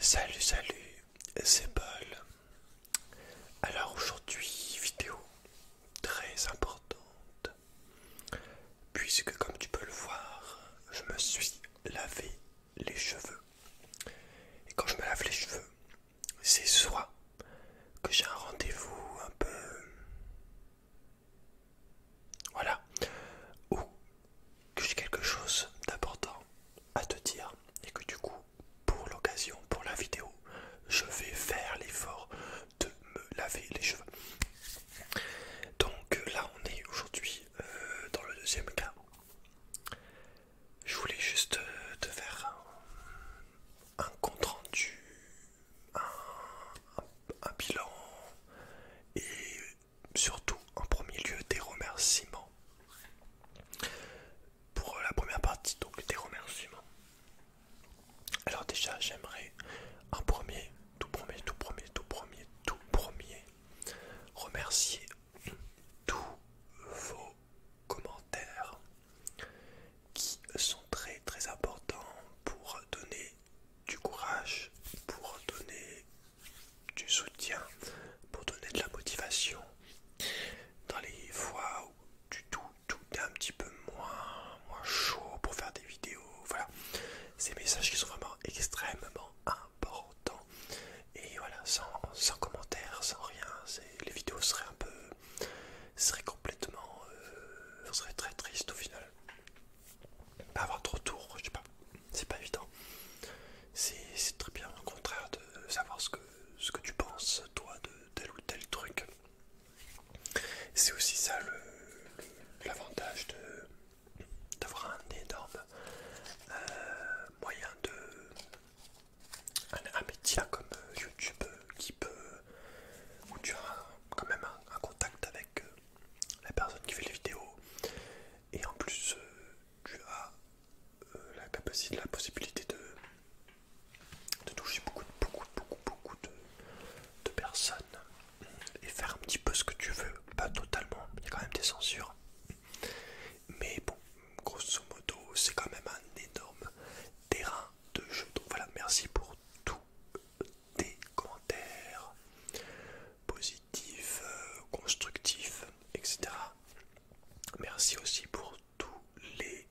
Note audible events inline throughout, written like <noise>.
Salut salut, c'est Paul. Alors aujourd'hui vidéo très importante puisque comme tu peux le voir je me suis lavé les cheveux. Et quand je me lave les cheveux c'est soit que j'ai un rendez-vous un peu... Voilà. Ou que j'ai quelque chose d'important à te dire et que du coup, pour l'occasion, pour la vidéo, je vais faire l'effort de me laver les cheveux. Donc là, on est aujourd'hui euh, dans le deuxième cas. Je voulais juste euh, te faire un, compte rendu, un bilan et surtout en premier lieu des remerciements. Pour la première partie, donc des remerciements. Alors déjà, j'aimerais en premier, tout premier, tout premier, tout premier, tout premier, remercier tous vos commentaires qui sont très très importants pour donner du courage, pour donner du soutien, pour donner de la motivation. Dans les fois où tu, tout, tout est un petit peu moins, moins chaud pour faire des vidéos, voilà. Ces messages qui sont vraiment extrêmement importants. Et voilà, sans, sans commentaires, sans rien, les vidéos seraient un peu... seraient complètement... Euh, seraient très tristes au final. Pas avoir trop tour, je sais pas, c'est pas évident c'est très bien, au contraire, de savoir ce que, ce que tu penses, toi, de tel ou tel truc. C'est aussi ça l'avantage d'avoir un énorme euh, moyen de... Un, métier comme euh, YouTube euh, qui peut... où tu as quand même un, contact avec la personne qui fait les vidéos. Et en plus, tu as euh, la capacité, la possibilité de, toucher beaucoup, beaucoup, beaucoup, de, de personnes et faire un petit peu ce que tu veux, pas totalement, il y a quand même des censures. Mais bon, grosso modo, c'est quand même un énorme terrain de jeu. Donc voilà, merci pour tous tes commentaires positifs, euh, constructifs, etc. Merci aussi pour tous les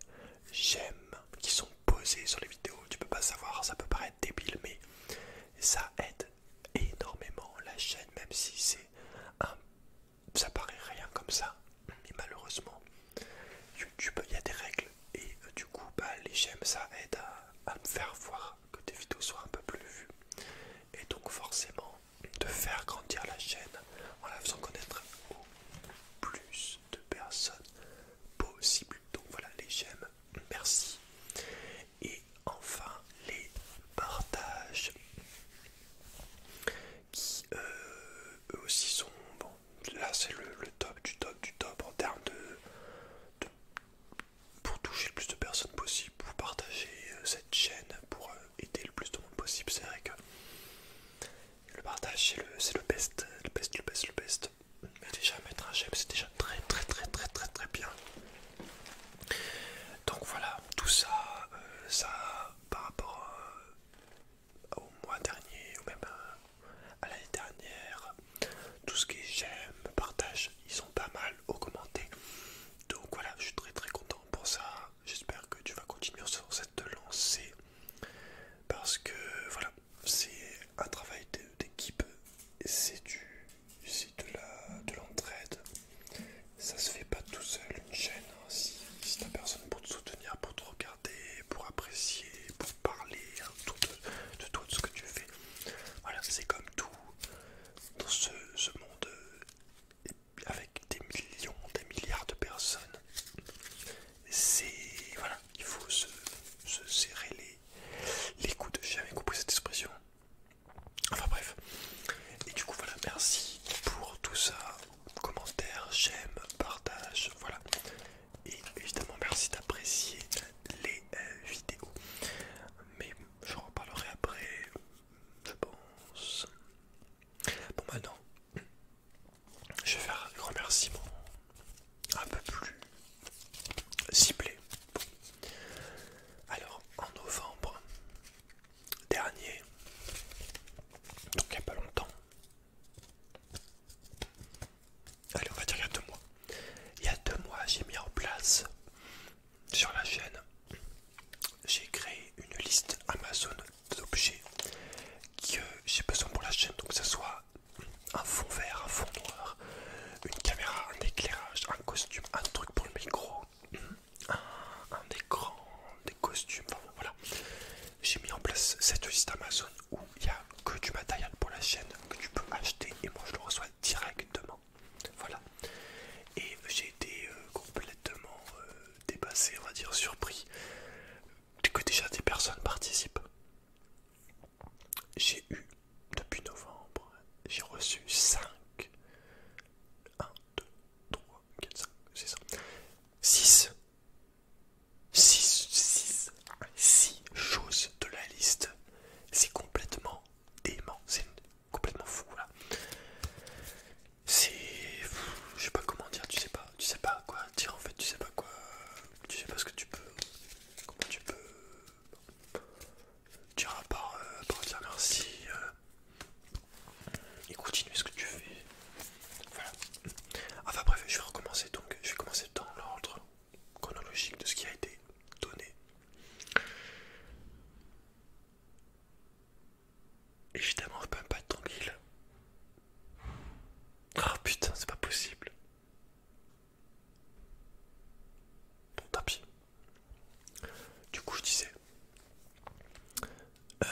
j'aime qui sont posés sur les vidéos. Tu peux pas savoir, ça peut paraître débile, mais ça aide énormément la chaîne, même si c'est un. Ça paraît rien comme ça, mais malheureusement, YouTube, il y a des règles et euh, du coup, bah, les j'aime ça aide à, à me faire voir que tes vidéos soient un peu plus vues. Et donc, forcément, de faire grandir la chaîne en la faisant connaître au plus de personnes possible. Donc voilà les j'aime, merci. Et enfin les partages qui euh, eux aussi sont bon là c'est le, top du top du top en termes de, pour toucher le plus de personnes possible pour partager euh, cette chaîne pour euh, aider le plus de monde possible. C'est vrai que le partage c'est le, le best, le best, le best, le best. Mais déjà mettre un j'aime c'est déjà très très très très très très bien. Donc voilà, tout ça, euh, ça par rapport euh, au mois dernier ou même euh, à l'année dernière, tout ce qui est j'aime, partage, ils sont pas mal augmenté. Donc voilà, je suis très très content pour ça. J'espère que tu vas continuer sur cette lancée parce que voilà, c'est un travail d'équipe, c'est du, de l'entraide. De Ça se fait pas tout seul une chaîne. Hein. si, t'as personne pour te soutenir, pour te regarder, pour apprécier, pour parler hein, de, toi, de ce que tu fais. Voilà, c'est comme tout dans ce, ce monde euh, avec des millions, des milliards de personnes. C'est. Voilà, il faut se, serrer les, les coudes. J'ai jamais compris cette expression. Enfin bref. Et du coup, voilà, merci pour tout ça. Commentaire, j'aime, partage, voilà. Et évidemment, merci d'apprécier les euh, vidéos. Mais je reparlerai après, je pense. Bon maintenant, je vais faire un remerciement un peu plus ciblé. Alors en novembre dernier, donc il n'y a pas longtemps, allez on va dire il y a deux mois, il y a deux mois j'ai mis en place sur la chaîne j'ai créé une liste Amazon d'objets que euh, j'ai besoin pour la chaîne, donc que ce soit un fond vert, un fond noir, une caméra, un éclairage, un costume, un truc pour le micro, un, écran, des costumes, enfin, voilà. J'ai mis en place cette liste Amazon où il n'y a que du matériel pour la chaîne que tu peux acheter et moi je le reçois directement. Voilà. Et j'ai été complètement euh, dépassé, on va dire surpris, que déjà des personnes participent. J'ai eu, depuis novembre, j'ai reçu 5, 1, 2, 3, 4, 5, 6, 6, 6, 6, 6 choses de la liste. C'est complètement dément, c'est complètement fou là c'est je sais pas comment dire tu sais pas tu sais pas quoi dire en fait tu sais pas quoi tu sais pas ce que tu peux comment tu peux dire euh, à part, dire merci euh, et continuer ce que tu fais voilà enfin bref je vais recommencer donc je vais commencer dans l'ordre chronologique de ce qui a été donné Évidemment, on peut même pas être tranquille. Ah putain, c'est pas possible. Bon, tapis. Du coup, je disais. Euh,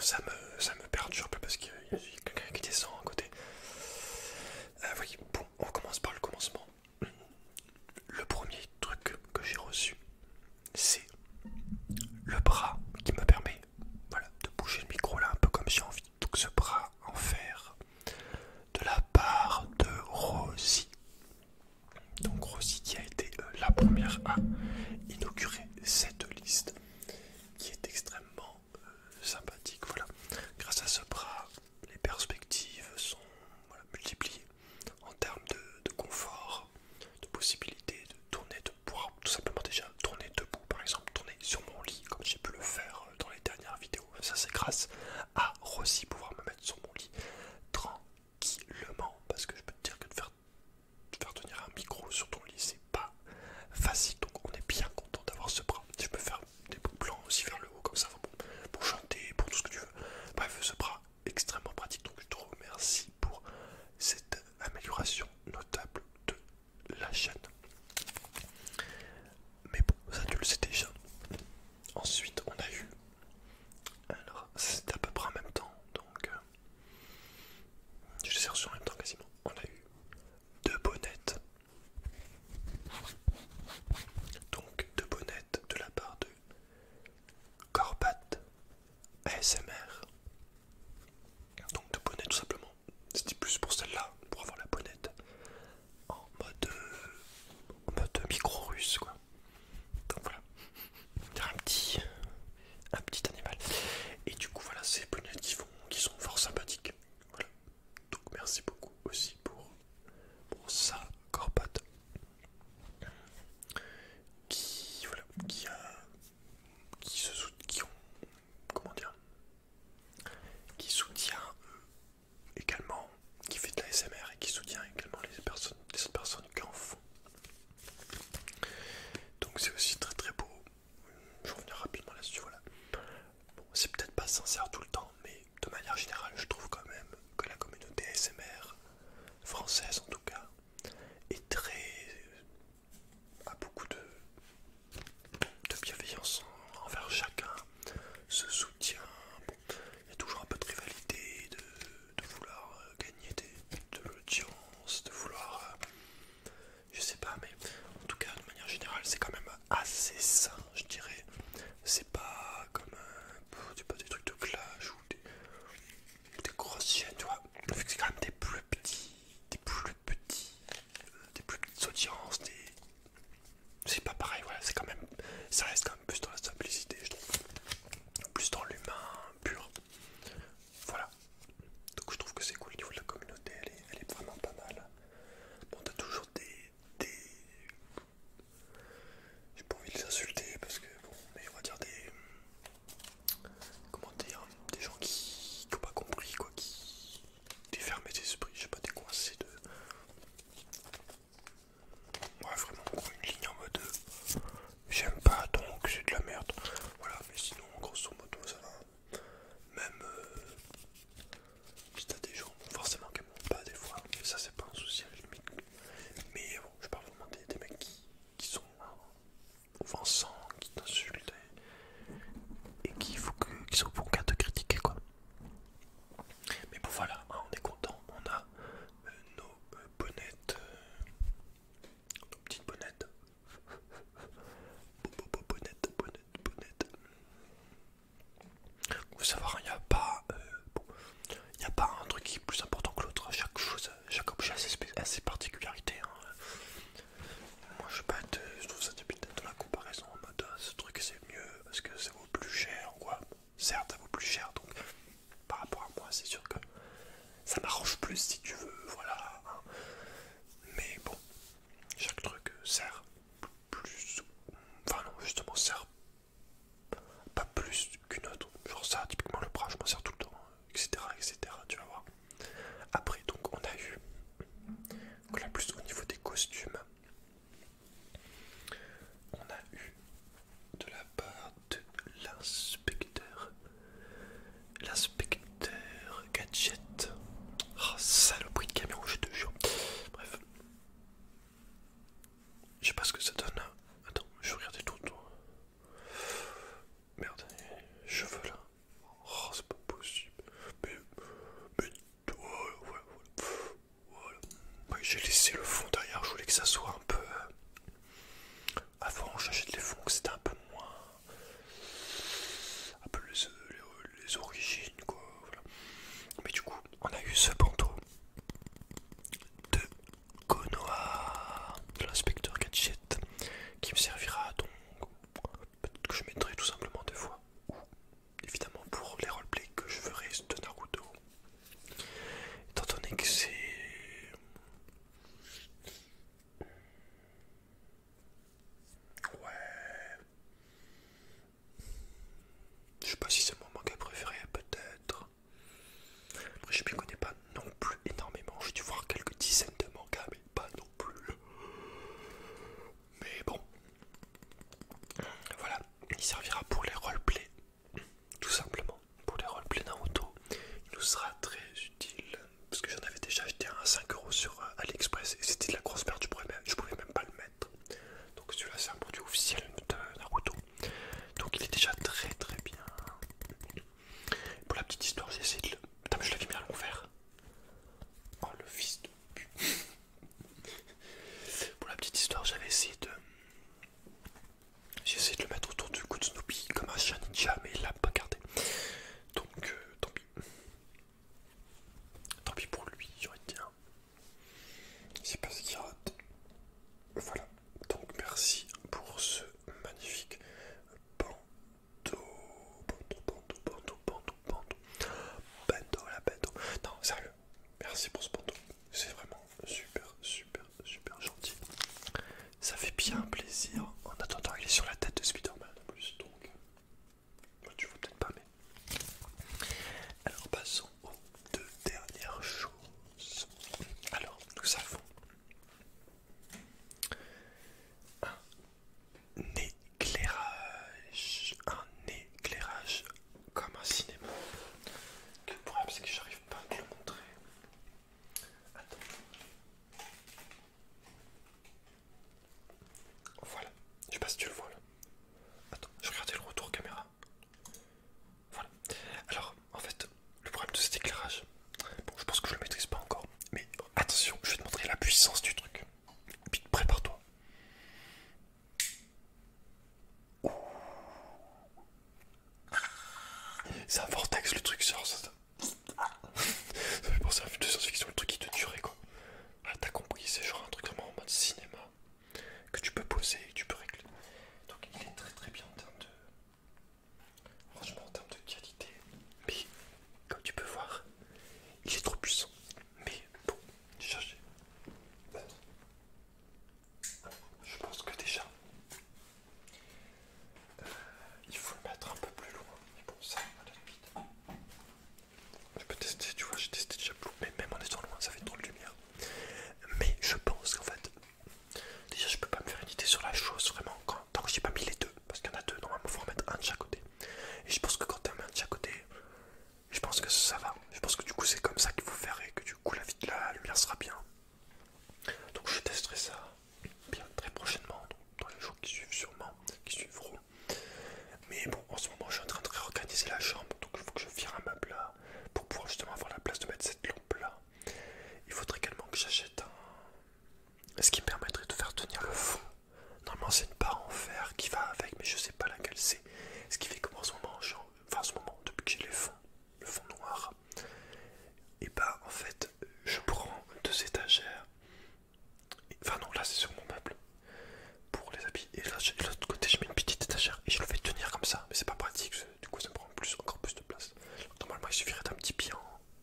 ça, me, ça me perturbe parce qu'il y a quelqu'un qui descend à côté. Ah oui, bon, on commence par le commencement le premier truc que j'ai reçu, c'est le bras qui me permet voilà, de bouger le micro là un peu comme j'ai envie. Donc ce bras en fer de la part de Rosie. Donc Rosie qui a été euh, la première à inaugurer cette liste qui est extrêmement euh, sympathique. Voilà, grâce à ce bras, les perspectives sont multipliées en termes de, confort, de possibilité de tourner, de pouvoir tout simplement déjà tourner debout, par exemple tourner sur mon lit comme j'ai pu le faire euh, dans les dernières vidéos. Ça c'est grâce à Rossi pouvoir me mettre sur mon lit tranquillement parce que je peux te dire que de faire, tenir un micro sur ton lit c'est pas facile donc on est bien content d'avoir ce bras. Je peux faire des plans aussi vers le haut comme ça pour chanter, pour tout ce que tu veux. Bref, ce bras extrêmement pratique. Donc je te remercie pour cette amélioration notable de la chaîne. Mais bon, ça tu le sais déjà. Ensuite, on a eu. Alors, c'était à peu près en même temps, donc. Euh, je les ai reçus en même temps quasiment. On a eu deux bonnettes. Donc, deux bonnettes de la part de Corbat ASMR. Donc de bonnet tout simplement. C'était plus pour celle-là, pour avoir la bonnette. En mode, euh, micro russe quoi. Donc voilà. Un petit, un petit animal. Et du coup voilà, ces bonnets qui, sont fort sympathiques. Donc merci beaucoup aussi pour, pour ça, Corpat qui, qui, se qui ont, comment dire, qui soutient euh, également, qui fait de la SMR et qui soutient également les personnes, personnes qui en font. Donc c'est aussi très très beau. Je reviens rapidement là-dessus, voilà. c'est peut-être pas sincère tout le temps, mais de manière générale, je trouve quand même que la communauté ASMR française en tout cas, est très. à beaucoup de, bienveillance envers chacun, se soutient. il y a toujours un peu de rivalité, de, vouloir euh, gagner de l'audience, de vouloir. Euh, je sais pas, mais en tout cas, de manière générale, c'est quand même assez sain, je dirais. C'est pas comme euh, pas des trucs de clash ou des, grosses chaînes tu vois. Vu que c'est quand même des plus petits, des plus petits, euh, des plus petites audiences, des... c'est pas pareil, voilà, c'est quand même, ça reste quand même plus dans la simplicité, je trouve, plus dans l'humain pur. Voilà, donc je trouve que c'est cool au niveau de la communauté, elle est, vraiment pas mal. Bon, t'as toujours des j'ai pas envie de les insulter parce que bon, mais on va dire des. Comment dire Des gens qui n'ont pas compris quoi, qui. Des fermés d'esprit, je sais pas, des coincés de. Ouais, vraiment, une ligne en mode. J'aime pas donc c'est de la merde. Voilà, mais sinon, grosso modo, ça va. Même euh, si t'as des gens, forcément, qui m'ont pas des fois, ça c'est pas un souci à la limite. Mais euh, je je parle vraiment des, mecs qui, sont offensants, euh, qui t'insultent et, qui sont pour qu'à te critiquer quoi. Mais bon voilà, hein, on est content, on a euh, nos euh, bonnettes, nos petites <laughs> bonnettes, bonnettes, bonnettes, Vous savez, il n'y a pas, il a pas un truc qui est plus important que l'autre. Chaque chose, chaque objet a ses, particularités. Hein. Moi je, pas je trouve ça débile de la comparaison en mode ah, ce truc c'est mieux parce que ça vaut plus cher ou quoi. Certes, ça vaut plus cher donc par rapport à moi, c'est sûr que ça m'arrange plus si tu veux. Voilà. Hein. Mais bon, chaque truc sert plus. Enfin, non, justement, sert pas plus qu'une autre. Genre ça, typiquement le bras, je m'en sers tout le temps, etc. etc. Tu vas voir. Après, donc on a eu... Donc plus au niveau des costumes, on a eu de la part de l'inspecteur. L'inspecteur Gadget. le oh, saloperie de camion, je te jure. Bref. Je sais pas ce que ça donne hein. Attends, je vais regarder tout le temps. Merde, cheveux là. Oh, c'est pas possible. Mais, mais, voilà, voilà, voilà. J'ai laissé le fond derrière, je voulais que ça soit un peu. Euh, avant, acheté les fonds que c'était un peu moins. un peu les, origines, quoi. Mais du coup, on a eu ce bandeau de Konoha de l'inspecteur Gadget qui me servira donc peut-être que je mettrai tout simplement deux fois ou évidemment pour les roleplays que je ferai de Naruto étant donné que c'est ouais je sais pas si c'est mon manga préféré peut-être je ne connais pas non plus énormément. J'ai dû voir quelques dizaines de mangas, mais pas non plus. Mais bon, voilà, il servira pour les roleplays, tout simplement. Pour les roleplays Naruto, il nous sera très utile. Parce que j'en avais déjà acheté un à 5€ sur euh, AliExpress et c'était de la grosse perte, je ne pouvais même pas le mettre. Donc celui-là c'est un produit officiel de Naruto. Donc il est déjà très très bien. Pour la petite histoire, j'ai essayé de le... Putain mais je l'avais mis à l'envers. Oh le fils de <laughs> Pour la petite histoire, j'avais essayé de... J'ai essayé de le mettre autour du cou de Snoopy comme un chat ninja mais il l'a pas gardé. Donc euh, tant pis. Tant pis pour lui, j'aurais dit. Hein. Je pas ce qu'il rate. Voilà. Donc merci pour ce magnifique bandeau. Bandeau, bandeau, bandeau, bandeau, bandeau. Bandeau, la bandeau. Non, sérieux. Merci pour ce bandeau. C'est vraiment super, super, super gentil. Ça fait bien plaisir. En attendant, il est sur la tête de Spider-Man en plus. Donc, euh, tu vois peut-être pas, mais. Alors, passons aux deux dernières choses. Alors, nous savons. Un éclairage, un éclairage comme un cinéma. Le problème c'est que j'arrive pas à te le montrer. Attends. Voilà, je sais pas si tu le vois là. Attends, je regardais le retour caméra. Voilà. Alors, en fait, le problème de cet éclairage, bon, je pense que je le maîtrise pas encore, mais attention, je vais te montrer la puissance du truc. prépare-toi. C'est un vortex le truc, ça. fait penser à un science-fiction, le truc qui te durait quoi. Ah, t'as compris, c'est genre un truc vraiment en mode cinéma que tu peux poser et tu peux régler. Donc il est très très bien en termes de. Franchement, en termes de qualité, mais comme tu peux voir, il est trop puissant. Mais bon, Je pense que déjà, euh, il faut le mettre un peu plus loin. Mais bon, ça, à vite. Je peux tester, tu vois, j'ai testé déjà plus, mais même en étant loin, ça fait trop de lumière. Mais je pense qu'en fait, Déjà, je peux pas me faire une idée sur la chose vraiment quand, tant que j'ai pas mis les deux, parce qu'il y en a deux, normalement faut en mettre un de chaque côté. Et je pense que quand t'en mets un de chaque côté, je pense que ça, va. Je pense que du coup, c'est comme ça qu'il faut faire et que du coup, la, vie de la lumière sera bien. Donc, je testerai ça bien très prochainement, dans les jours qui suivent, sûrement, qui suivront. Mais bon, en ce moment, je suis en train de réorganiser la chambre, donc il faut que je vire un meuble là pour pouvoir justement avoir la place de mettre cette lampe là. Il faudrait également que j'achète un... Ce qui me permettrait de faire tenir le fond. Normalement c'est une barre en fer qui va avec, mais je sais pas laquelle c'est. Ce qui fait que moi en ce moment, en ce moment depuis que j'ai les fonds, le fond noir, et bah en fait je prends deux étagères. Enfin non, là c'est sur mon meuble pour les habits. Et là, de l'autre côté, je mets une petite étagère et je le fais tenir comme ça. Mais c'est pas pratique, du coup ça me prend plus, encore plus de place. normalement il suffirait d'un petit pied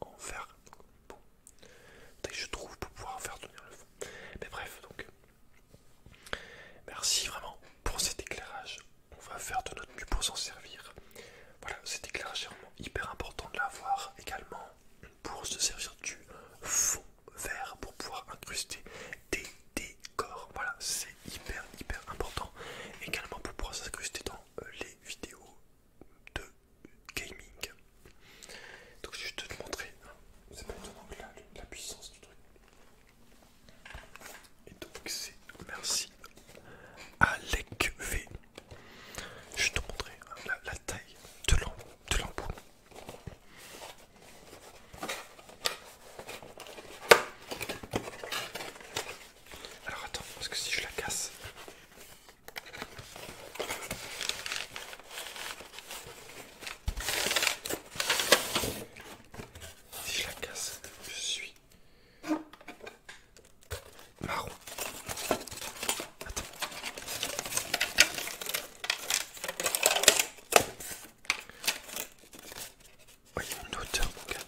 en, verre. fer, bon, que je trouve pour pouvoir faire tenir le fond. Mais bref, donc merci vraiment pour cet éclairage. On va faire de notre mieux pour s'en servir. Voilà, cet éclairage est vraiment hyper important de l'avoir également pour se servir du fond vert pour pouvoir incruster des décors. Voilà, c'est hyper hyper important également pour pouvoir s'incruster dans euh, les vidéos de gaming. Donc je vais te montrer, hein. c'est pas la, puissance du truc. Et donc c'est merci à V. Je vais te montrer hein, la, taille de l'embout. Alors attends, parce que si je la casse... Si je la casse, je suis marron. Oui, une hauteur, mon gars.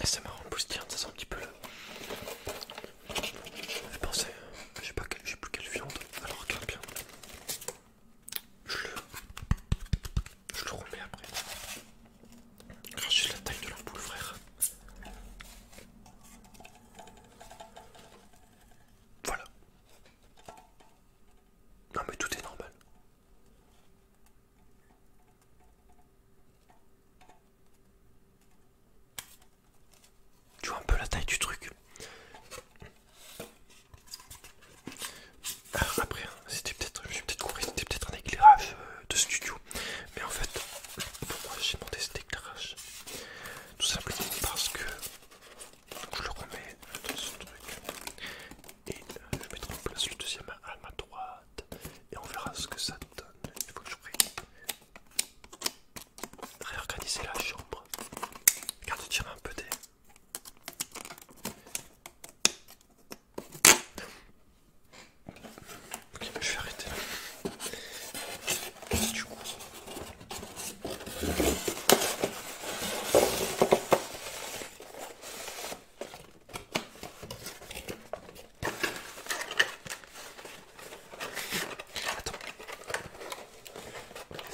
Et c'est marrant, le poussière, ça sent un petit peu le. Euh, j'ai pensé, je sais pas, plus quelle viande. Alors regarde bien. Je le. Je le remets après. Regarde juste la taille de poule frère. Voilà. Non mais tout est normal. Tu vois un peu la taille du truc. Euh, après, hein, c'était peut-être, je peut-être c'était peut-être un éclairage euh, de studio, mais en fait, pour moi, j'ai monté cet éclairage tout simplement parce que je le remets dans son truc et euh, je mettrai en place le deuxième à et on verra ce que ça donne. Il faut que je réorganiser la chambre. Regarde, tire un peu des. Ok, mais je vais arrêter là. Attends.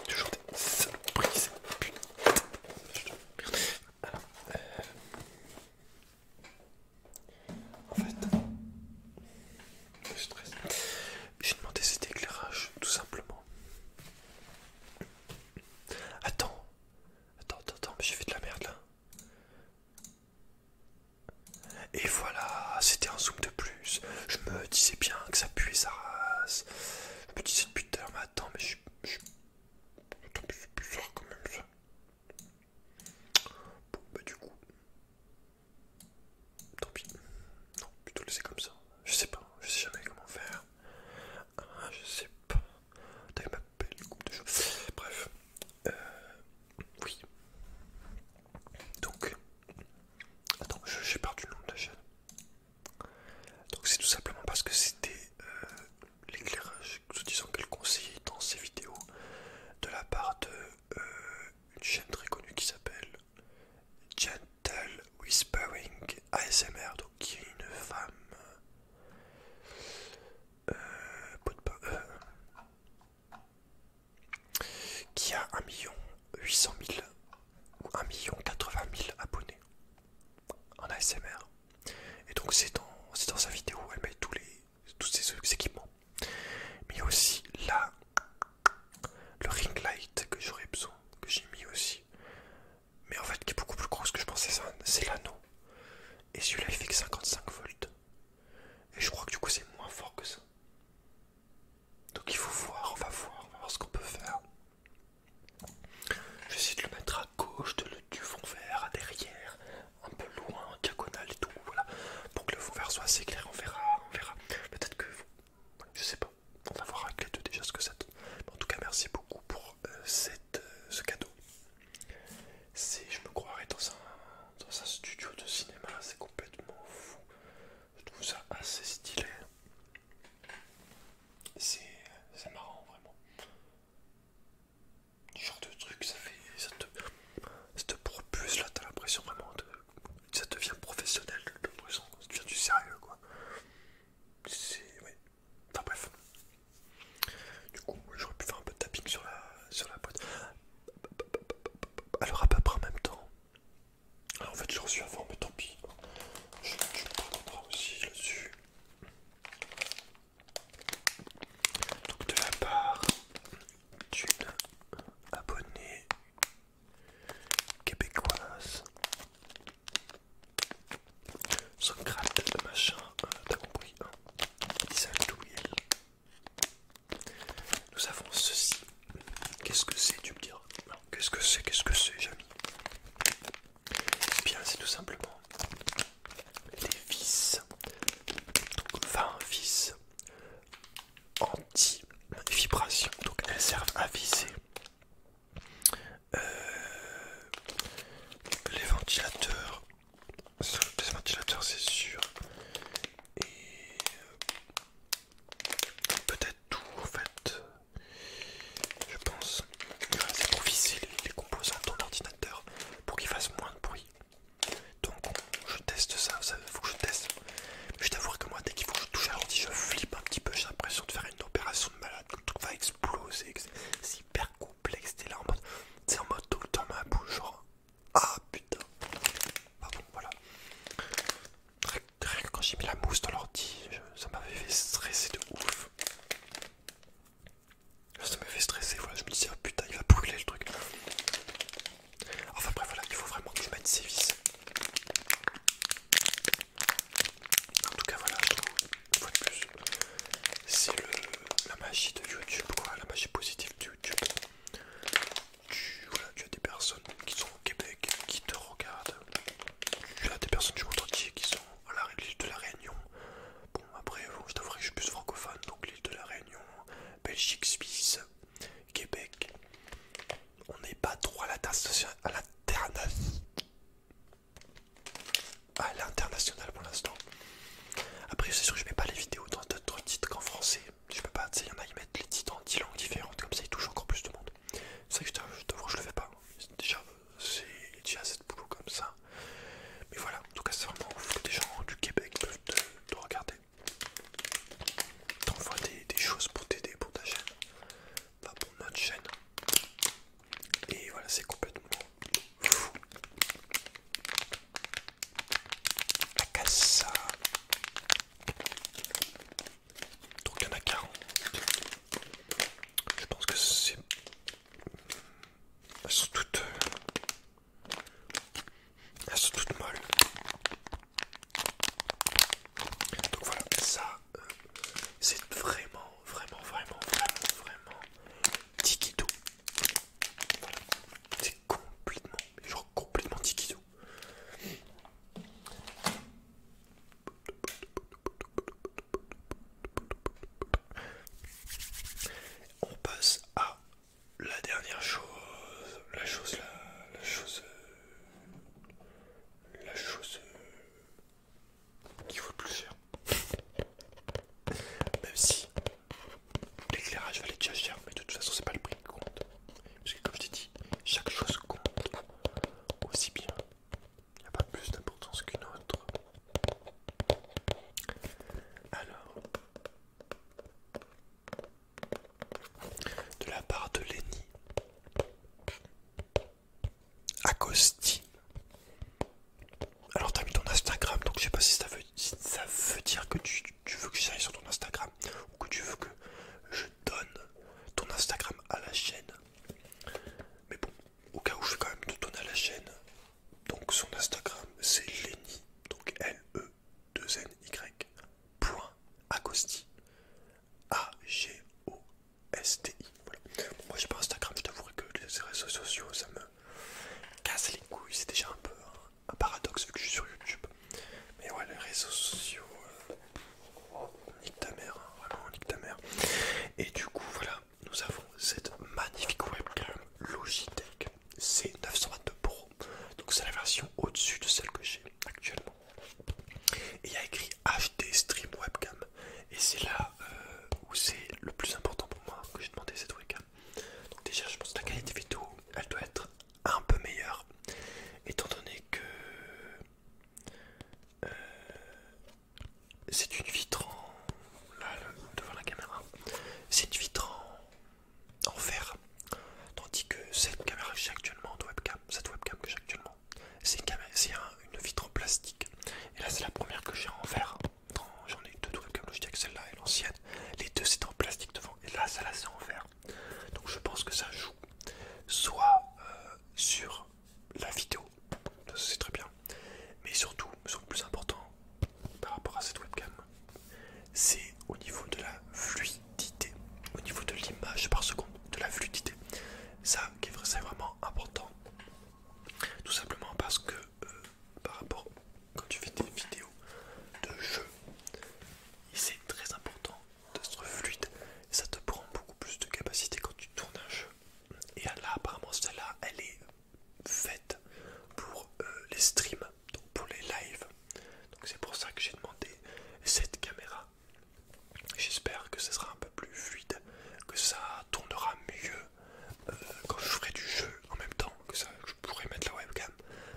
Toujours des saloperies. Putain. Alors, euh... En fait, je stresse. J'ai demandé cet éclairage tout simplement. Attends, attends, attends, mais j'ai fait de la merde là. Et voilà, c'était un zoom de plus. Je me disais bien que ça puait sa race. Je me disais depuis mais attends, mais je, c'est bizarre quand même ça. Bon, bah du coup... Tant pis. Non, plutôt laisser comme ça. Je sais pas, je sais jamais comment faire. Ah, je sais pas. T'avais m'appelle coupe de cheveux. Bref, euh, oui. Donc, attends, j'ai perdu le nom de la chaîne. Donc c'est tout simplement parce que c'était euh, l'éclairage, disons disant qu'elle conseillait dans ses vidéos de la part de euh, une chaîne très connue qui s'appelle Gentle Whispering ASMR, donc qui est une femme euh, euh, qui a 1 800 000 ou 1 million 80 000 abonnés en ASMR. Et donc c'est dans, dans sa vidéo où elle met tous, les, tous ses équipements. Mais aussi là le ring light que j'aurais besoin, que j'ai mis aussi. Mais en fait qui est beaucoup plus grosse que je pensais, c'est l'anneau. Et celui-là il fait que 55 volts. Et je crois que du coup c'est moins fort que ça. Donc il faut voir, on va voir, on va voir ce qu'on peut faire. J'essaie de le mettre à gauche du fond vert, à derrière, un peu loin, en diagonale et tout, voilà. Pour que le fond vert soit assez clair, on verra, on verra. Peut-être que vous... Je sais pas, on va voir avec les deux déjà ce que ça donne. en tout cas, merci beaucoup pour euh, euh, ce cadeau. C'est, je me croirais dans un, dans un studio de cinéma, c'est complètement fou. Je trouve ça assez stylé. C'est marrant vraiment. genre de truc, ça fait, ça te, propulse là, t'as l'impression vraiment de, ça devient professionnel, de ça devient du sérieux quoi. C'est, ouais. Enfin bref, du coup, j'aurais pu faire un peu de tapping sur la, sur la boîte. Alors, à peu près en même temps. Ah, en fait, je reçu avant, mais tant pis. Je, je prendrai aussi dessus. Donc, de la part d'une abonnée québécoise. de machin, euh, t'as compris. Hein nous avons ceci. Qu'est-ce que c'est, tu me diras Qu'est-ce que c'est Qu'est-ce que c'est, mis Bien, c'est tout simplement les vis, donc 20 vis anti-vibration, donc elles servent à viser euh, les ventilateurs des ventilateurs, c'est sûr. Et euh, peut-être tout en fait. Je pense. C'est pour visser les, composants de ton ordinateur pour qu'il fasse moins de bruit. Donc je teste ça, faut que je teste. je t'avoue que moi dès qu'il faut que je touche à l'ordi je flippe un petit peu, j'ai l'impression de faire une opération de malade, que le va exploser, c'est hyper cool complexe, là en mode, c'est en mode tout le temps ma bouche, genre, ah putain, pardon, voilà. Rien que quand j'ai mis la mousse dans l'ordi, ça m'avait fait stresser de ouf. Ça m'avait fait stresser, voilà, je me disais, Ah, putain, il va brûler le truc. Enfin bref, voilà, il faut vraiment que je mette ses vis. En tout cas, voilà, je c'est la magie de YouTube, la magie positive de YouTube. Tu, tu as des personnes qui sont au Québec, qui te regardent. Tu as des personnes du monde entier qui sont à l'île de la Réunion. Bon, après, je t'avouerai que je suis plus francophone, donc l'île de la Réunion, Belgique, Suisse, Québec. On n'est pas trop à la tasse à la terre à ah, l'international pour l'instant. Après, c'est sûr que je mets pas les vidéos dans d'autres titres qu'en français. Je peux pas, tu il y en a, ils mettent les titres en 10 langues différentes, comme ça ils touchent encore plus de monde. C'est vrai que je t'avoue, je le fais pas. Déjà, c'est déjà assez de boulot comme ça. Mais voilà, en tout cas, c'est vraiment des gens du Québec peuvent te, regarder. T'envoies des, choses pour t'aider, pour ta chaîne. Pas pour notre chaîne. Et voilà, c'est complètement fou. La Donc il y en a 40. Je pense que c'est... Elles sont toutes... Euh, elles sont toutes molles. Donc voilà, ça, euh, c'est vraiment, vraiment, vraiment, vraiment, vraiment... Tikidou. C'est complètement, genre complètement tikizou. On passe à la dernière chose, la chose, la, la chose, la chose qui vaut le plus cher. Même si L'éclairage va déjà cher, mais de toute façon, c'est pas le prix qui compte. Parce que, comme je t'ai dit, chaque chose compte aussi bien. Il n'y a pas plus d'importance qu'une autre. Alors, de la part de Lenny, Agostine, alors t'as mis ton Instagram, donc je sais pas si ça veut, ça veut dire que tu, veux que j'aille sur ton Instagram ou que tu veux que je donne ton Instagram à la chaîne. Mais bon, au cas où je vais quand même te donner à la chaîne. Donc son Instagram c'est Lenny, donc L-E-2-N-Y, A-G-O-S-T-I. moi j'ai pas Instagram, je t'avouerai que les réseaux sociaux ça me casse les couilles, c'est déjà un peu... Hein un paradoxe vu que je suis sur YouTube. Mais ouais, les réseaux sociaux, euh, nique ta mère, hein, vraiment nique ta mère. Et du coup, voilà, nous avons cette magnifique webcam Logitech C922 Pro. Donc c'est la version au-dessus de celle que j'ai actuellement. Et il y a écrit HD Stream Webcam. Et c'est là euh, où c'est le plus important pour moi que j'ai demandé cette webcam. Donc déjà je pense que la qualité vidéo elle doit être un peu meilleure étant donné que euh, c'est une vitre en, là, devant la caméra c'est une vitre en, fer tandis que cette caméra que j'ai actuellement webcam cette webcam que j'ai actuellement c'est une, une vitre en plastique et là c'est la première que j'ai en verre J'en ai deux de comme Logitech, celle-là et l'ancienne. Les deux c'est en plastique devant et là, ça là c'est en verre. Donc je pense que ça joue soit euh, sur la vidéo, c'est très bien, mais surtout, le plus important par rapport à cette webcam, c'est au niveau de la fluidité, au niveau de l'image par seconde, de la fluidité. Ça, c'est vraiment important. Tout simplement parce que euh, par rapport quand tu fais des vidéos de jeu. C'est très important d'être fluide. Ça te prend beaucoup plus de capacité quand tu tournes un jeu. Et là, apparemment, celle-là, elle est faite pour euh, les streams, donc pour les lives. Donc c'est pour ça que j'ai demandé cette caméra. J'espère que ce sera un peu plus fluide, que ça tournera mieux euh, quand je ferai du jeu en même temps que ça je pourrais mettre la webcam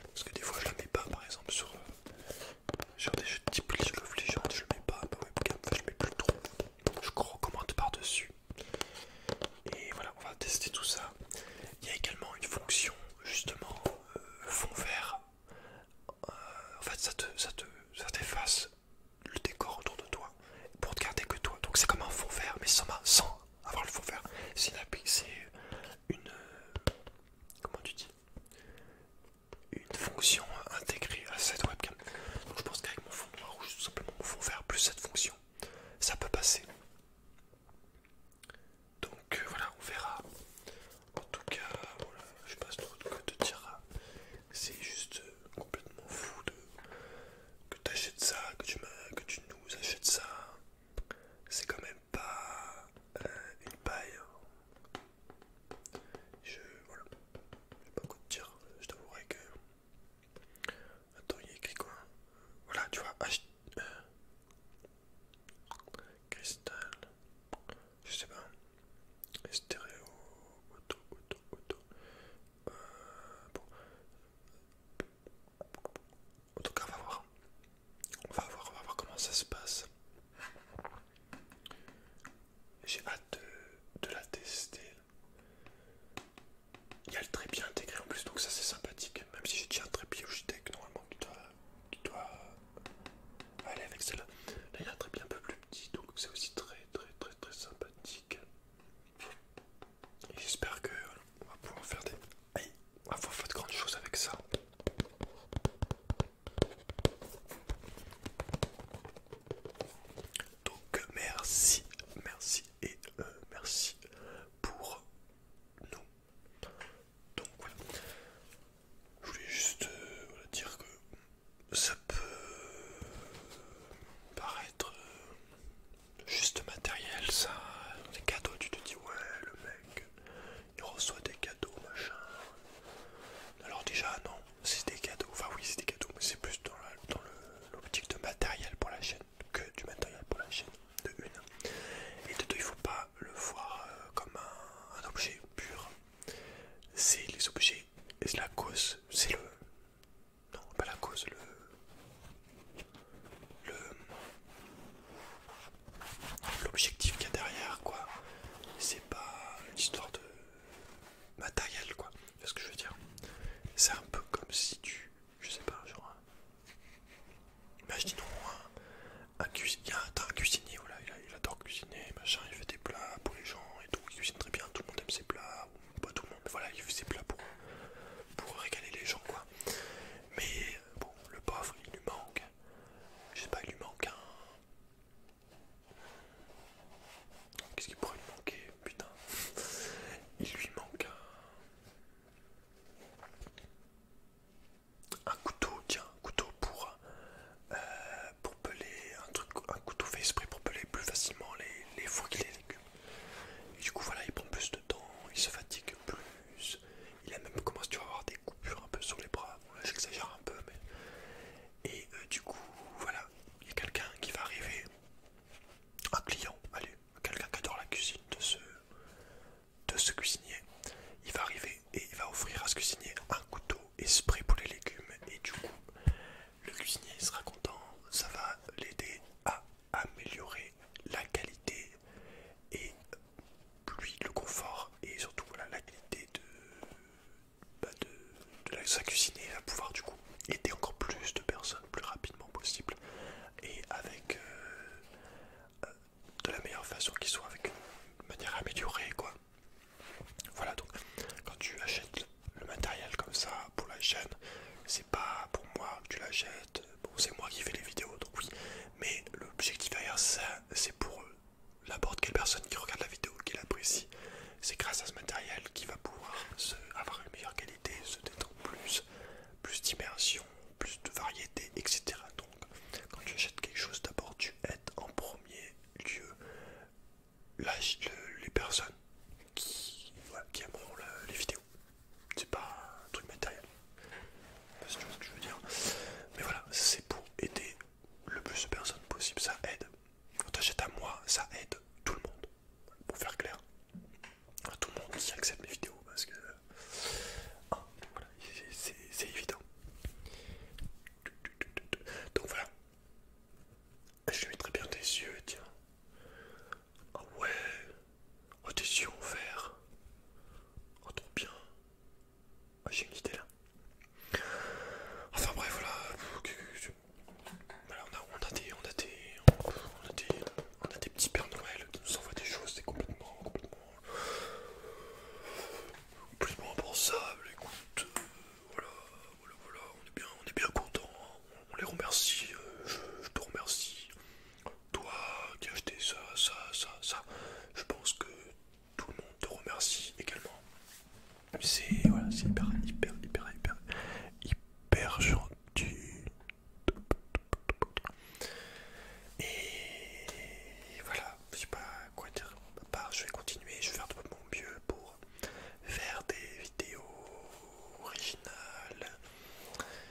parce que des fois je la mets pas par exemple sur, euh, sur des jeux type League of Legends je mets pas ma webcam, enfin, je mets plus trop je recommande par dessus et voilà on va tester tout ça il y a également une fonction justement euh, fond vert euh, en fait ça te ça te t'efface le décor autour de toi pour te garder que toi donc c'est comme un fond vert mais sans avoir le fond vert. C'est une, Comment tu dis Une fonction intégrée à cette webcam. Donc je pense qu'avec mon fond noir rouge tout simplement mon fond vert plus cette fonction, ça peut passer. Donc euh, voilà, on verra. En tout cas, voilà, je passe trop de te dira. C'est juste euh, complètement fou de que tu achètes ça, que tu, que tu nous achètes ça c'est quand même pas euh, une paille. Hein. Je voilà, pas beaucoup de tir. Euh, je t'avouerai que. Attends, il y a écrit quoi euh, Voilà, tu vois, H... cristal, je sais pas, stéréo, auto, auto, auto. bon. En tout cas, on va voir. On va voir, voir comment ça se passe. J'ai hâte de, la tester. Il y a le trépied intégré en plus, donc ça c'est sympathique. Même si j'ai déjà un trépied Logitech, normalement tu dois, tu dois aller avec celle-là. Là il y a un trépied un peu plus petit, donc c'est aussi très très très très sympathique. J'espère que on va pouvoir faire des. Aïe, on va faire de grandes choses avec ça. Donc merci, merci et euh, merci pour nous. Donc voilà. Je voulais juste euh, dire que ça peut paraître euh, Juste matériel, ça. des cadeaux, tu te dis, ouais, le mec, il reçoit des cadeaux, machin. Alors, déjà, non, c'est des cadeaux. Enfin, oui, c'est des cadeaux, mais c'est plus dans l'optique de matériel pour la chaîne que du matériel pour la chaîne, de une. Et de deux, il faut pas le voir euh, comme un, objet pur. C'est les objets, et la cause, c'est le. Non, pas la cause, le l'objectif qu'il y a derrière quoi c'est pas l'histoire de matériel quoi c'est ce que je veux dire c'est un peu comme si tu je sais pas genre imaginons un, un cuisinier voilà il, adore cuisiner machin il fait des plats pour les gens et tout il cuisine très bien tout le monde aime ses plats pas tout le monde voilà il fait ses plats pour pour régaler les gens quoi mais bon, le pauvre, il lui manque. Je sais pas, il lui manque un. Qu'est-ce qu'il pourrait lui manquer Putain. Il lui manque un. Un couteau, tiens, un couteau pour. Euh, pour peler. Un, truc, un couteau fait esprit pour peler plus facilement les, les fruits et les légumes. Et du coup, voilà, il prend plus de temps, il se fatigue plus. Il a même commencé à avoir des coupures un peu sur les bras. J'exagère un peu, mais. Et euh, du coup, voilà, il y a quelqu'un qui va arriver. Un client, allez, quelqu'un qui adore la cuisine de ce, de ce cuisinier. Il va arriver et il va offrir à ce cuisinier un couteau esprit pour les légumes. Et du coup, le cuisinier sera content. Ça va l'aider à améliorer la qualité et plus le confort et surtout la qualité de, bah, de, la, sa cuisine à pouvoir du coup aider encore plus de personnes plus rapidement possible et avec euh, euh, de la meilleure façon qu'ils soient avec une manière améliorée quoi voilà donc quand tu achètes le matériel comme ça pour la chaîne c'est pas pour moi tu l'achètes bon, c'est moi qui fais les vidéos, donc oui, mais l'objectif derrière ça, c'est pour eux, n'importe quelle personne qui regarde la vidéo, qui l'apprécie, c'est grâce à ce matériel qu'il va pouvoir avoir une meilleure qualité, se détendre plus, plus d'immersion, plus de variété, etc. Donc, quand tu achètes quelque chose, d'abord tu aides en premier lieu les personnes qui, aimeront les vidéos. C'est pas un truc matériel. ce que je veux dire. Mais voilà, c'est pour aider le plus de personnes possible. Ça aide. Quand t'achètes à moi, ça aide tout le monde. Pour faire clair. tout le monde qui accepte mes vidéos. Parce que. Ah, voilà, c'est évident. Donc voilà. Je lui très bien tes yeux, tiens. Ah ouais, Oh, tes yeux en vert. Oh, trop bien. Ah, j'ai une idée là. Enfin, bref, voilà. on, a, des, petits Pères Noël qui nous envoient des choses, c'est complètement, complètement, impensable. Écoute, euh, voilà, voilà, on est bien, on est bien content. Hein. On les remercie, euh, je te remercie toi qui as acheté ça, ça, ça, ça, je pense que tout le monde te remercie également. C'est hyper, hyper, hyper, hyper, hyper gentil. Et voilà, je sais pas quoi dire. je vais continuer, je vais faire de mon mieux pour faire des vidéos originales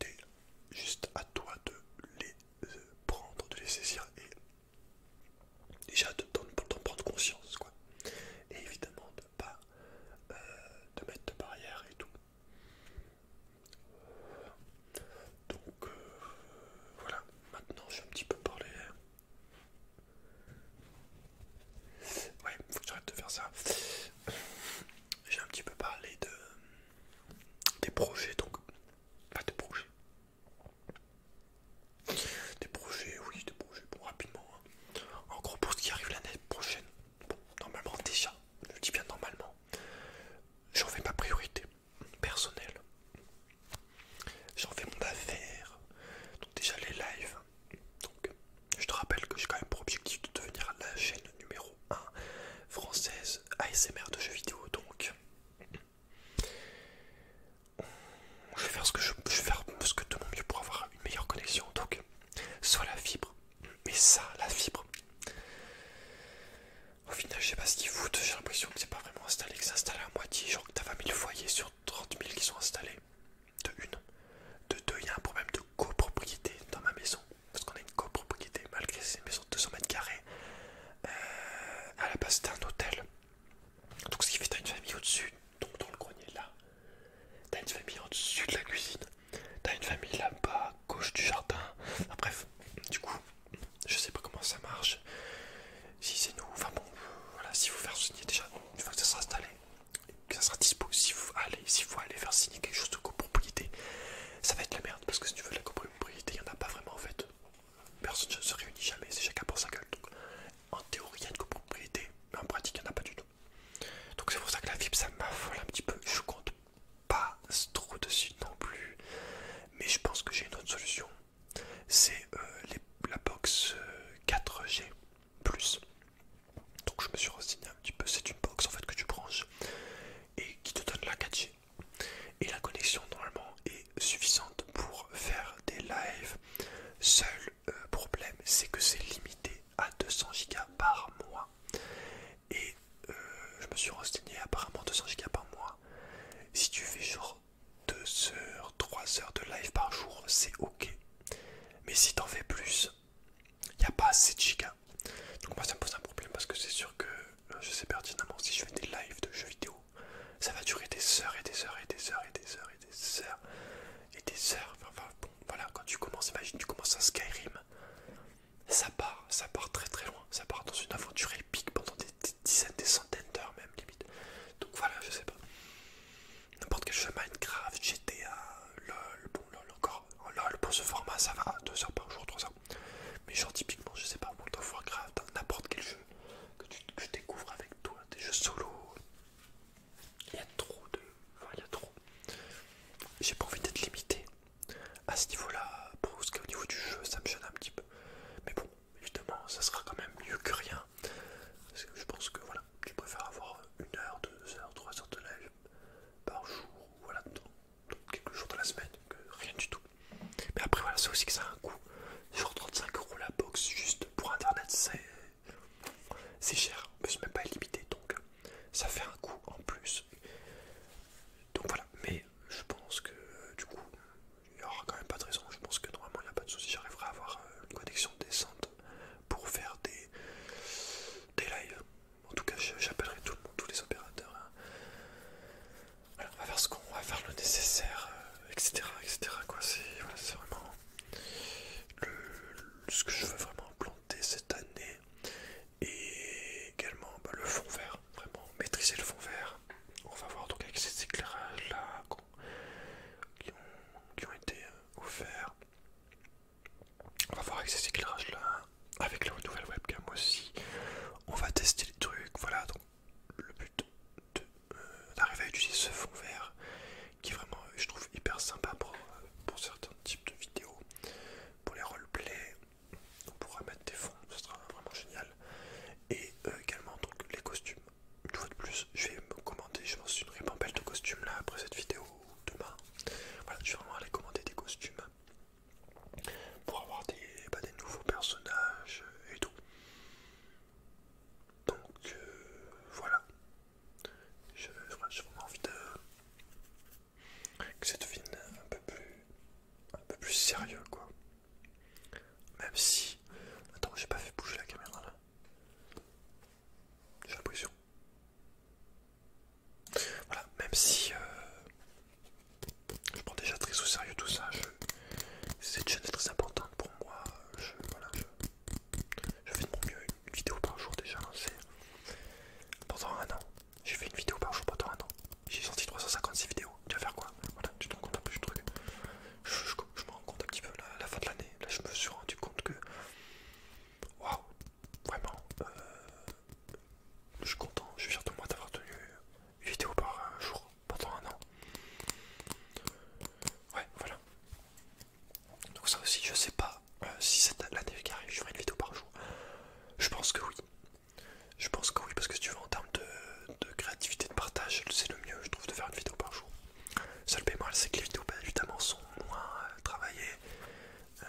C'est juste à toi de les euh, prendre, de les saisir et déjà de t'en prendre conscience quoi. Et évidemment de pas te euh, de mettre de barrière et tout. Donc euh, voilà, maintenant je vais un petit peu parler. Ouais, faut que j'arrête de faire ça. J'ai un petit peu parlé de des projets donc pas de projets des projets oui des projets bon rapidement hein. en gros pour ce qui arrive l'année prochaine bon, normalement déjà je dis bien normalement j'en fais ma priorité personnelle j'en fais mon affaire donc déjà les lives donc je te rappelle que j'ai quand même pour objectif de devenir la chaîne numéro 1 française ASMR de jeux vidéo donc je vais faire ce que je, faire ce que de mon mieux pour avoir une meilleure connexion. Donc, soit la fibre, mais ça, la fibre. Au final, je sais pas ce qu'ils foutent. J'ai l'impression que c'est pas vraiment installé, que c'est installé à moitié. Genre que t'as 20 000 foyers sur 30 000 qui sont installés. De une. De deux, il y a un problème de copropriété dans ma maison parce qu'on a une copropriété, malgré ces maisons de 200 mètres carrés, euh, à la base c'était un hôtel. Donc ce qui fait as une famille au-dessus, donc dans le grenier là, Tu as une famille au-dessus de la cuisine, Tu as une famille là-bas, gauche du jardin, bref, du coup, je sais pas comment ça marche, si c'est nous, enfin bon, voilà, si vous faire signer déjà, une fois que ça sera installé, que ça sera dispo, si vous allez, si vous allez faire signer quelque chose de copropriété, ça va être la merde, parce que si tu veux la copropriété, il n'y en a pas vraiment en fait. Personne ne se réunit jamais, c'est chacun pour sa gueule. Donc, en théorie, il y a une copropriété, mais en pratique, il n'y en a pas du tout. Donc c'est pour ça que la vip ça m'affole un petit peu. Je compte pas trop dessus non plus. Mais je pense que j'ai une autre solution. C'est euh, la box 4G. Euh, Donc je me suis renseigné un petit peu. C'est une box en fait que tu branches et qui te donne la 4G et la connexion normalement est suffisante pour faire des lives. Seul euh, problème c'est que c'est limité à 200 Go par mois et euh, je me suis renseigné apparemment 200 Go par mois. Si tu fais genre 2 heures, 3 heures de live par jour, c'est ok. Mais si t'en fais plus, il n'y a pas assez de gigas. Donc moi ça me pose un problème parce que c'est sûr que je sais pertinemment si je fais des lives de jeux vidéo, ça va durer des heures et des heures et des heures et des heures et des heures et des heures. Enfin, bon, voilà, quand tu commences, imagine, tu commences à Skyrim, ça part, ça part très très loin, ça part dans une aventure épique pendant des, dizaines, des centaines d'heures même limite. Donc voilà, je sais pas. N'importe quel jeu, Minecraft, GTA, LOL, bon LOL encore, LOL pour ce format ça va, 2 heures par jour, 3 heures mais genre typiquement, je sais pas, World grave, hein, dans n'importe quel jeu que tu je découvres avec toi, des jeux solo. Il y a trop de... Enfin, il y a trop. J'ai pas envie d'être limité à ce niveau-là, parce qu'au niveau du jeu, ça me gêne un petit peu. Mais bon, évidemment, ça sera quand même mieux que rien. Parce que je pense que voilà, tu préfères avoir une heure, deux heures, trois heures de live par jour, voilà, quelques jours de la semaine, euh, rien du tout. Mais après, voilà, c'est aussi que ça a un coût. Genre 35 euros la box juste pour internet, c'est cher, mais c'est même pas illimité donc euh, ça fait un coût en plus. Donc voilà, mais je pense que euh, du coup, il n'y aura quand même pas de raison. Je pense que normalement, il n'y a pas de souci, j'arriverai à avoir une connexion décente pour faire des, des lives. En tout cas, j'appellerai tout le monde, tous les opérateurs. Hein on va faire ce qu'on va faire le nécessaire, etc. Euh, etc. Quoi, c'est vraiment ce que je veux vraiment planter cette année et également bah, le fond vert. Vraiment maîtriser le fond vert. On va voir donc avec ces éclairages là qui, ont, été ouverts. Euh, offerts. On va voir avec ces éclairages là, avec la nouvelle webcam aussi. On va tester les trucs. Voilà, donc le but euh, d'arriver à utiliser ce fond vert qui est vraiment, je trouve, hyper sympa pour, euh, pour certains types de vidéos. Pour les roleplays, on pourra mettre des fonds, ce sera vraiment génial. Et euh, également, donc les costumes. Une fois de plus, je vais me commander, je m'en suis une répampelle de costumes là après cette vidéo demain. Voilà, je vais vraiment aller commander des costumes pour avoir bah, des, nouveaux personnages et tout. Donc euh, voilà, j'ai vraiment envie de... que cette devienne un peu plus, un peu plus sérieux quoi. Même si... Attends, j'ai pas fait bouger la caméra là. J'ai l'impression. Voilà, même si... Euh, je prends déjà très au sérieux tout ça. Cette chaîne est très importante pour moi. Je, fais de mon mieux une vidéo par jour déjà. Hein, pendant un an, j'ai fait une vidéo par jour pendant un an. J'ai sorti 356 vidéos. Tu vas faire quoi Voilà, tu te rends compte un peu du truc. Je, me rends compte un petit peu à la fin de l'année. Là, je me suis rendu compte que. Waouh Vraiment. Euh, je suis content, je suis fier de moi d'avoir tenu vidéo par jour pendant un an. Ouais, voilà. Donc ça aussi, je sais pas euh, si cette l'année qui arrive, je ferai une vidéo par jour. Je pense que oui. Je pense que oui, parce que tu vois en termes de, créativité, de partage, c'est le mieux, je trouve, de faire une vidéo par jour. Seul bémol, c'est que les vidéos, bah, évidemment, sont moins euh, travaillées. Euh,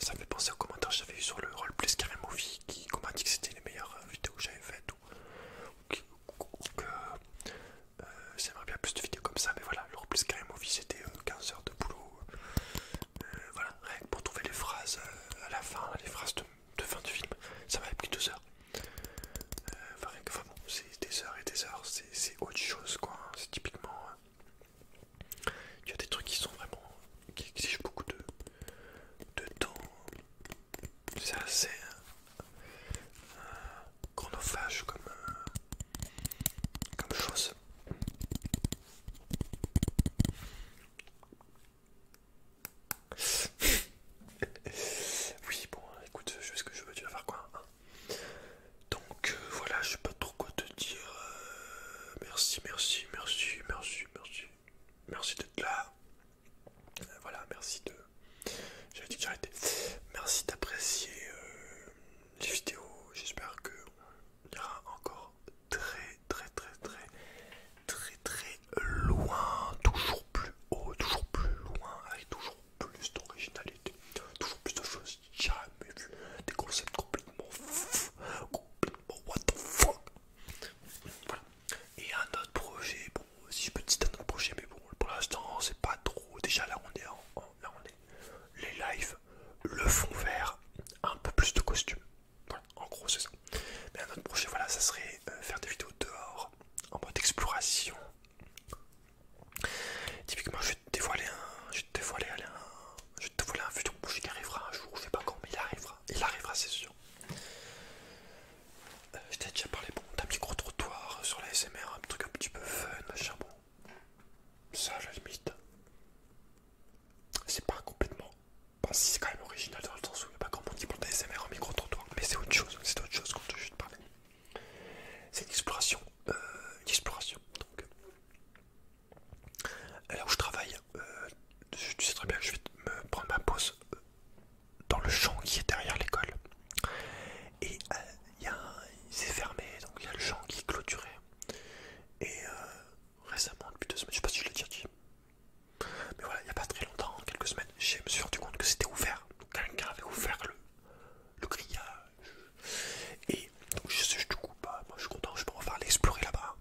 ça me fait penser aux commentaires que j'avais eu sur le roleplay Plus Movie qui, dit que c'était les meilleures euh, vidéos que j'avais faites ou, que j'aimerais euh, bien plus de vidéos comme ça, mais voilà, le plus Skyrim Movie c'était 15 euh, heures de boulot. voilà, rien que pour trouver les phrases à la fin, les phrases de, fin du film, ça m'avait pris 2 heures. enfin, rien que, c'est des heures et des heures, c'est autre chose quoi, hein, c'est typiquement. Il as des trucs qui sont vraiment. qui exigent beaucoup de, de temps. C'est assez chronophage comme, comme chose. oui, bon, écoute, je fais ce que je veux, tu vas faire quoi Donc voilà, je sais pas trop quoi te dire. merci, merci, merci, merci, merci merci d'être là. Euh, voilà, merci de. j'ai dit que Merci d'apprécier euh, les vidéos. J'espère qu'on ira encore très, très, très, très, très, très loin. Toujours plus haut, toujours plus loin, avec toujours plus d'originalité, toujours plus de choses jamais vues. Des concepts complètement complètement what the fuck. Et un autre projet, bon, si je peux citer un autre projet, mais bon, pour l'instant, c'est pas trop. Déjà, là, on est là, on est les lives, le fond vert, un peu plus de costumes. en gros, c'est ça. Mais un autre projet, voilà, ça serait euh, faire des vidéos dehors, en mode exploration. Typiquement, je vais te dévoiler un, je vais te dévoiler un, je vais te dévoiler un futur projet qui arrivera un jour, je sais pas quand, mais il arrivera, il arrivera, c'est sûr. Euh, je t'ai déjà parlé bon, d'un micro-trottoir sur la SMR, un truc un petit peu fun, machin bon. Ça à la C'est pas complètement. pas si c'est quand même original dans le sens où il n'y a pas grand monde qui un en micro-trottoir, mais c'est autre chose, c'est autre chose quand je te parler. C'est une exploration. Euh, une exploration. Donc. Là où je travaille, euh, tu sais très bien que je vais me prendre ma pause euh, dans le champ qui est derrière l'école. Et euh, il s'est fermé, donc il y a le champ qui est clôturé. Et récemment, depuis deux semaines, je sais pas si je l'ai déjà dit, mais voilà, il n'y a pas très longtemps, quelques semaines, je me suis rendu compte que c'était ouvert. Quelqu'un avait ouvert le, grillage. Et je sais, du coup, pas, bah, moi je suis content, je peux refaire l'explorer là-bas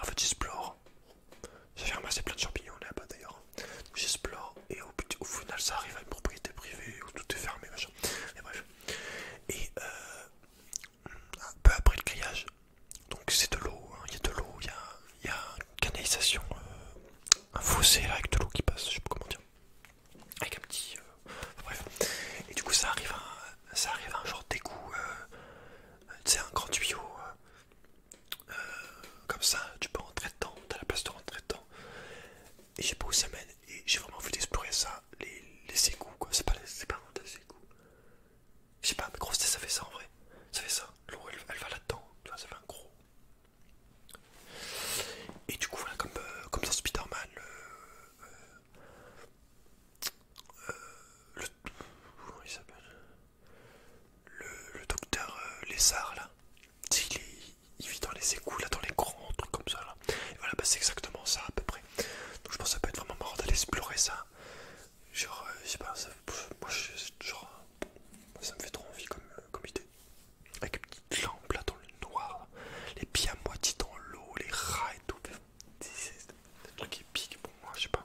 en fait, j'explore. fermé assez plein de champignons là-bas d'ailleurs. J'explore et au, au final, ça arrive à une propriété privée où tout est fermé, machin. Et bref. Et euh, un peu après le grillage, donc c'est de l'eau, hein. il y a de l'eau, il y, a, une canalisation, euh, un fossé là, avec de l'eau qui passe, je sais pas comment dire. Avec un petit. Euh, bref. Et du coup, ça arrive à, ça arrive à un genre d'égout, tu sais, un grand tuyau. Euh, comme ça, tu peux rentrer dedans, t'as la place de rentrer dedans. Et je sais pas où ça mène, et j'ai vraiment envie d'explorer ça, les, les égouts quoi, c'est pas, pas vraiment des égouts. Je sais pas, mais grosse ça fait ça en vrai, ça fait ça, l'eau elle, va là-dedans, tu vois, ça fait un gros. Et du coup voilà, comme, euh, comme dans Spider-Man, le... euh, euh le... Comment il s'appelle le, docteur euh, Lézard là, il, vit dans les égouts là, dans les grands trucs comme ça là. voilà, bah, c'est exactement ça à peu près. Donc je pense que ça peut être vraiment marrant d'aller explorer ça. Genre, euh, je sais pas, ça, me fait trop envie euh, comme, idée. Avec une petite lampe là dans le noir, les pieds à moitié dans l'eau, les rats et tout. C'est un truc épique pour moi, je sais pas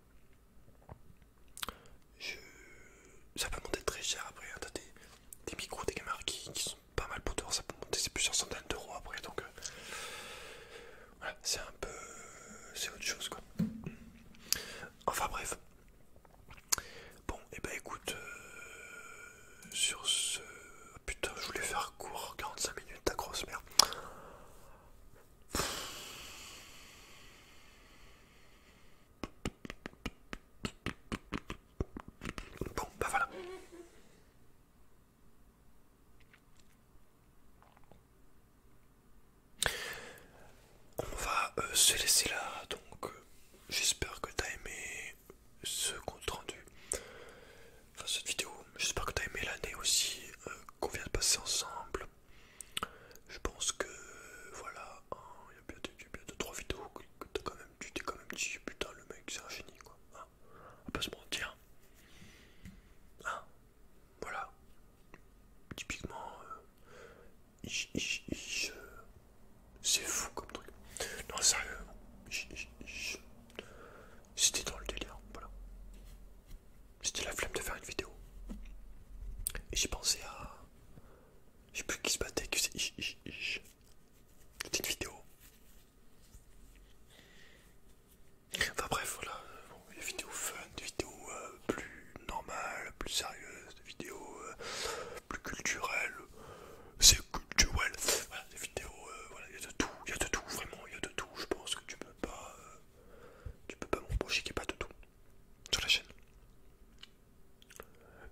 Je... Ça peut monter très cher après, hein. t'as des, micros, des caméras qui, sont pas mal pour dehors, ça peut monter c'est plusieurs centaines d'euros après, donc euh, voilà, c'est un peu... c'est autre chose quoi. Enfin bref. Bon, et eh bah ben, écoute, euh, sur ce... Putain, je voulais faire court, 45 minutes, ta grosse merde. Bon, bah voilà. On va euh, se laisser là, donc euh, j'espère que t'as aimé ce compte rendu, enfin cette vidéo, j'espère que t'as aimé l'année aussi euh, qu'on vient de passer ensemble. Je pense que voilà, hein, il y a bien deux, trois vidéos que t'as quand même, tu t'es quand même dit putain le mec c'est un génie quoi. Hein On pas se mentir. Hein, voilà. Typiquement, euh, euh, c'est fou comme truc. Non sérieux, c'était dans le délire, voilà. C'était la flemme de faire une vidéo. Et j'ai pensé à. Je sais plus qui se battait, que c'est. C'était une vidéo. Enfin bref, voilà. des vidéos fun, des vidéos euh, plus normales, plus sérieuses, des vidéos euh, plus culturelles. C'est culturel. Voilà, des vidéos, euh, voilà, il y a de tout, il y a de tout, vraiment, il y a de tout. Je pense que tu peux pas. tu peux pas m'embaucher qu'il n'y a pas de tout sur la chaîne.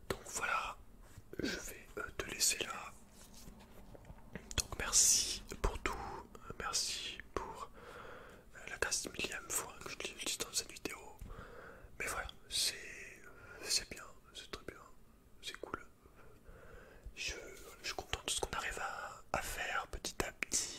Donc voilà, je vais euh, te laisser là. Donc merci pour tout, euh, merci pour euh, la 15 millième fois que je dis dans cette vidéo. Mais voilà, c'est bien, c'est très bien, c'est cool. Je, suis content de ce qu'on arrive à faire petit à petit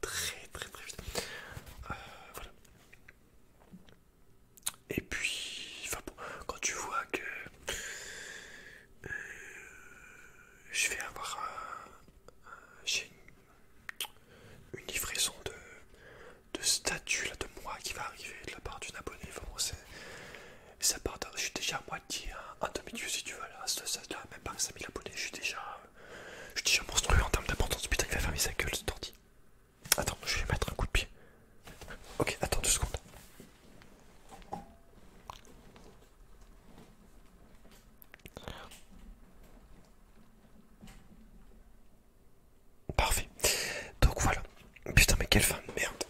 très très très vite. Euh, voilà. Et puis, quand tu vois que euh, je vais avoir un, j'ai une, livraison de, de statut là de moi qui va arriver de la part d'une abonnée, ça part, je suis déjà à moitié, en demi-dieu si tu veux, là, ça, là même pas 5000 abonnés, je suis déjà je dis un monstrueux en termes d'importance. Putain, il va fermer sa gueule, ce tortille. Attends, je vais mettre un coup de pied. Ok, attends deux secondes. Parfait. Donc voilà. Putain, mais quelle femme, merde.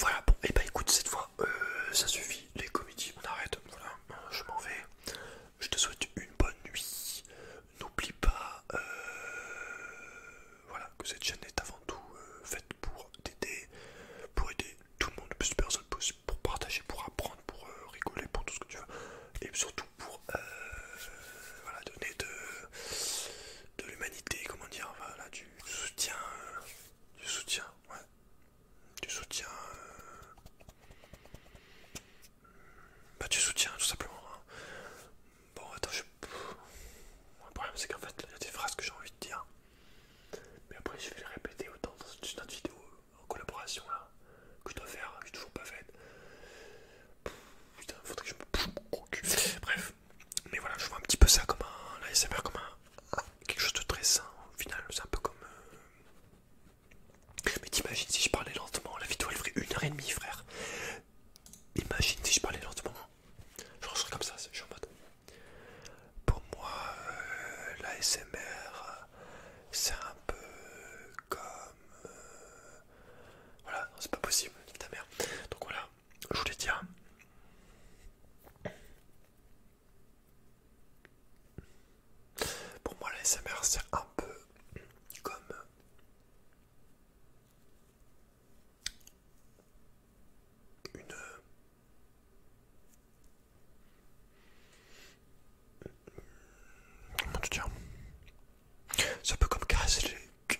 Voilà, bon, et eh bah ben, écoute, cette fois, euh, ça suffit, les comédies, on arrête, voilà, je m'en vais. Je te souhaite une bonne nuit. N'oublie pas euh, voilà, que cette chaîne est avant tout euh, faite pour t'aider, pour aider tout le monde, le plus de personnes possible, pour partager, pour apprendre, pour rigoler, pour tout ce que tu veux, et surtout pour donner de, de l'humanité, comment dire, voilà, du soutien, du soutien, ouais. Tu soutiens... Euh, bah, tu soutiens tout simplement. Hein. Bon, attends, je. Le problème, c'est qu'en fait, il y a des phrases que j'ai envie de dire. Mais après, je vais les répéter autant dans une autre vidéo en collaboration là que je dois faire, que j'ai toujours pas fait Putain, faudrait que je me. Bref, mais voilà, je vois un petit peu ça comme un. L'ASMR comme un. Quelque chose de très sain au final, c'est un peu comme. Euh, mais t'imagines si je parlais lentement, la vidéo elle ferait une heure et demie frère. Imagine si je parlais lentement. je serais comme ça, je suis en mode. Pour moi, l'ASMR, euh, la c'est un peu comme... Euh, voilà, c'est pas possible, ta mère. Donc voilà, je voulais dire... Pour moi, la SMR, c'est un peu comme une. Comment te C'est un peu comme caresser les.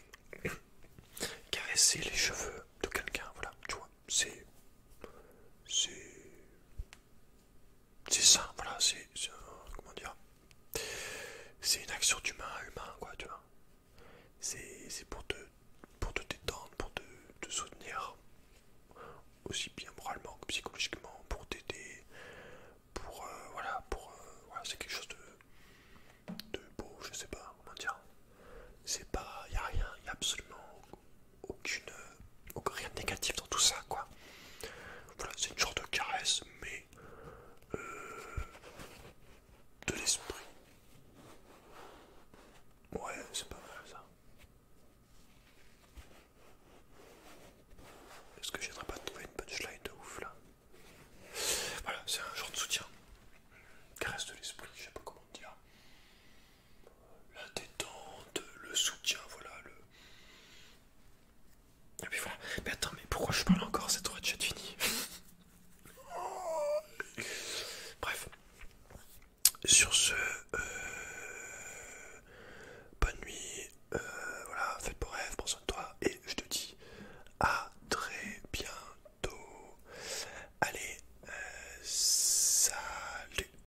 caresser les cheveux de quelqu'un, voilà, tu vois. C'est. C'est. C'est ça, voilà, c'est. Euh, comment dire C'est une action d'humain à humain, quoi, tu vois. C'est pour te, pour te détendre, pour te, soutenir, aussi bien moralement que psychologiquement, pour t'aider, pour. Euh, voilà, pour. Euh, voilà, c'est quelque chose de. de beau, je sais pas, comment dire. C'est pas. Y a rien, y a absolument aucune, rien de négatif dans tout ça, quoi. Voilà, c'est une genre de caresse, mais euh, de l'esprit. Ouais, c'est pas mal ça. Est-ce que j'aimerais pas trouver une punchline de ouf là Voilà, c'est un genre de soutien. Caresse de l'esprit, je sais pas comment dire la détente, le soutien, voilà, le... puis voilà. Mais attends, mais pourquoi je parle encore Cette droite déjà fini. <laughs> Bref. Sur ce, euh, bonne nuit, euh, voilà, faites vos rêves, prends soin de toi, et je te dis à très bientôt. Allez, euh, salut